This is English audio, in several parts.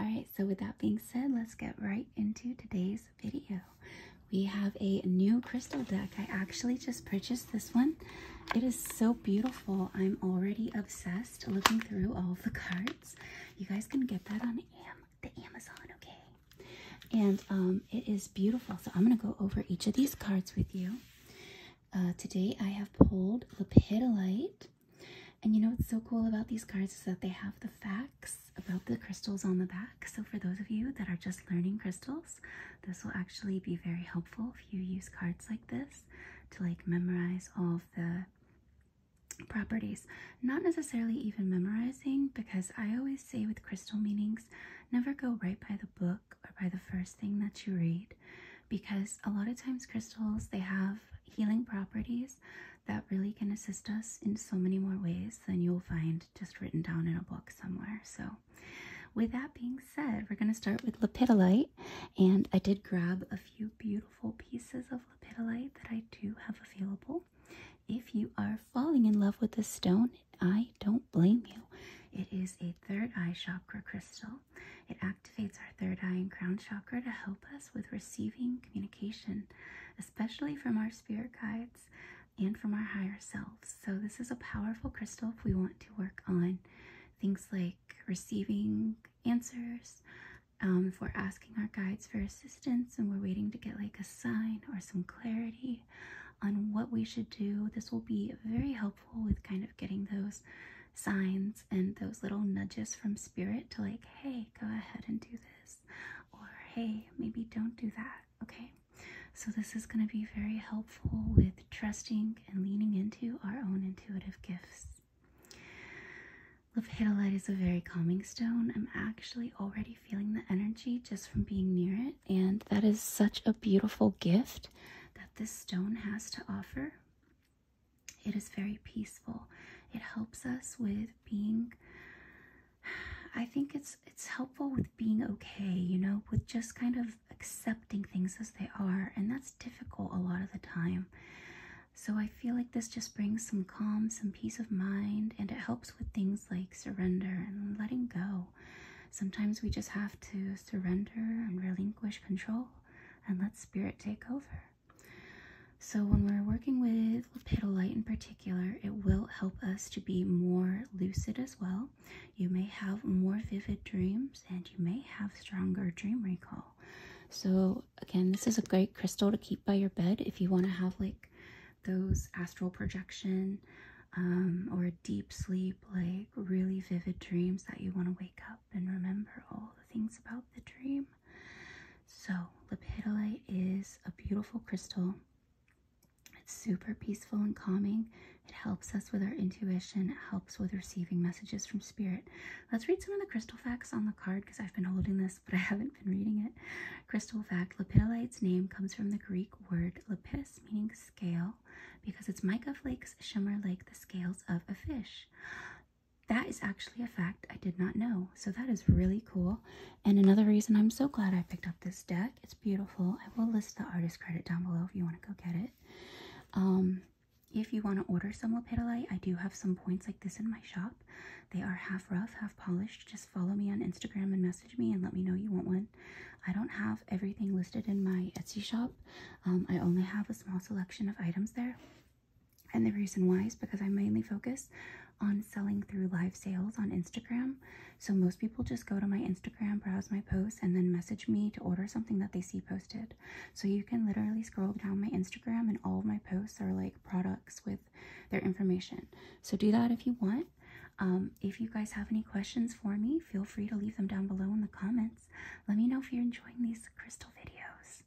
All right, so with that being said, let's get right into today's video. We have a new crystal deck. I actually just purchased this one. It is so beautiful. I'm already obsessed looking through all the cards. You guys can get that on the Amazon, okay? And um, it is beautiful. So I'm going to go over each of these cards with you. Uh, today I have pulled Lepidolite, and you know what's so cool about these cards is that they have the facts about the crystals on the back. So for those of you that are just learning crystals, this will actually be very helpful if you use cards like this to like memorize all of the properties. Not necessarily even memorizing because I always say with crystal meanings, never go right by the book or by the first thing that you read because a lot of times crystals they have healing properties that really can assist us in so many more ways than you'll find just written down in a book somewhere. So with that being said, we're going to start with lepidolite, And I did grab a few beautiful pieces of lepidolite that I do have available. If you are falling in love with this stone, I don't blame you. It is a third eye chakra crystal. It activates our third eye and crown chakra to help us with receiving communication, especially from our spirit guides and from our higher selves. So, this is a powerful crystal if we want to work on things like receiving answers. Um, if we're asking our guides for assistance and we're waiting to get like a sign or some clarity on what we should do, this will be very helpful with kind of getting those signs and those little nudges from spirit to like hey go ahead and do this or hey maybe don't do that okay so this is going to be very helpful with trusting and leaning into our own intuitive gifts Lapidolite is a very calming stone. I'm actually already feeling the energy just from being near it. And that is such a beautiful gift that this stone has to offer. It is very peaceful. It helps us with being I think it's it's helpful with being okay, you know, with just kind of accepting things as they are, and that's difficult a lot of the time. So I feel like this just brings some calm, some peace of mind, and it helps with things like surrender and letting go. Sometimes we just have to surrender and relinquish control and let spirit take over. So, when we're working with lapidolite in particular, it will help us to be more lucid as well. You may have more vivid dreams and you may have stronger dream recall. So, again, this is a great crystal to keep by your bed if you want to have like those astral projection um, or deep sleep, like really vivid dreams that you want to wake up up and remember all the things about the dream. So, lepidolite is a beautiful crystal. It's super peaceful and calming. It helps us with our intuition, it helps with receiving messages from spirit. Let's read some of the crystal facts on the card because I've been holding this, but I haven't been reading it. Crystal fact Lepidolite's name comes from the Greek word lepis, meaning scale, because its mica flakes shimmer like the scales of a fish that is actually a fact I did not know. So that is really cool. And another reason I'm so glad I picked up this deck. It's beautiful. I will list the artist credit down below if you want to go get it. Um, if you want to order some lapidolite, I do have some points like this in my shop. They are half rough, half polished. Just follow me on Instagram and message me and let me know you want one. I don't have everything listed in my Etsy shop um, I only have a small selection of items there. And the reason why is because I mainly focus on selling through live sales on Instagram. So most people just go to my Instagram, browse my posts, and then message me to order something that they see posted. So you can literally scroll down my Instagram and all of my posts are like products with their information. So do that if you want. Um, if you guys have any questions for me, feel free to leave them down below in the comments. Let me know if you're enjoying these crystal videos.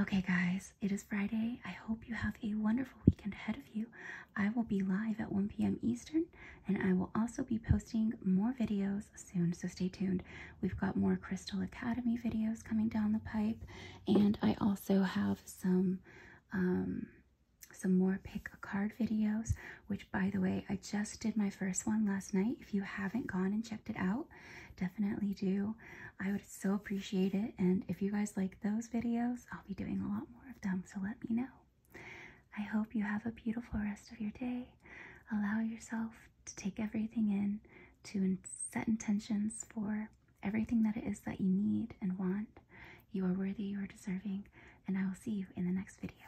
Okay, guys, it is Friday. I hope you have a wonderful weekend ahead of you. I will be live at 1 p.m. Eastern, and I will also be posting more videos soon, so stay tuned. We've got more Crystal Academy videos coming down the pipe, and I also have some, um, some more pick a card videos, which, by the way, I just did my first one last night. If you haven't gone and checked it out, definitely do. I would so appreciate it. And if you guys like those videos, I'll be doing a lot more of them. So let me know. I hope you have a beautiful rest of your day. Allow yourself to take everything in, to set intentions for everything that it is that you need and want. You are worthy, you are deserving, and I will see you in the next video.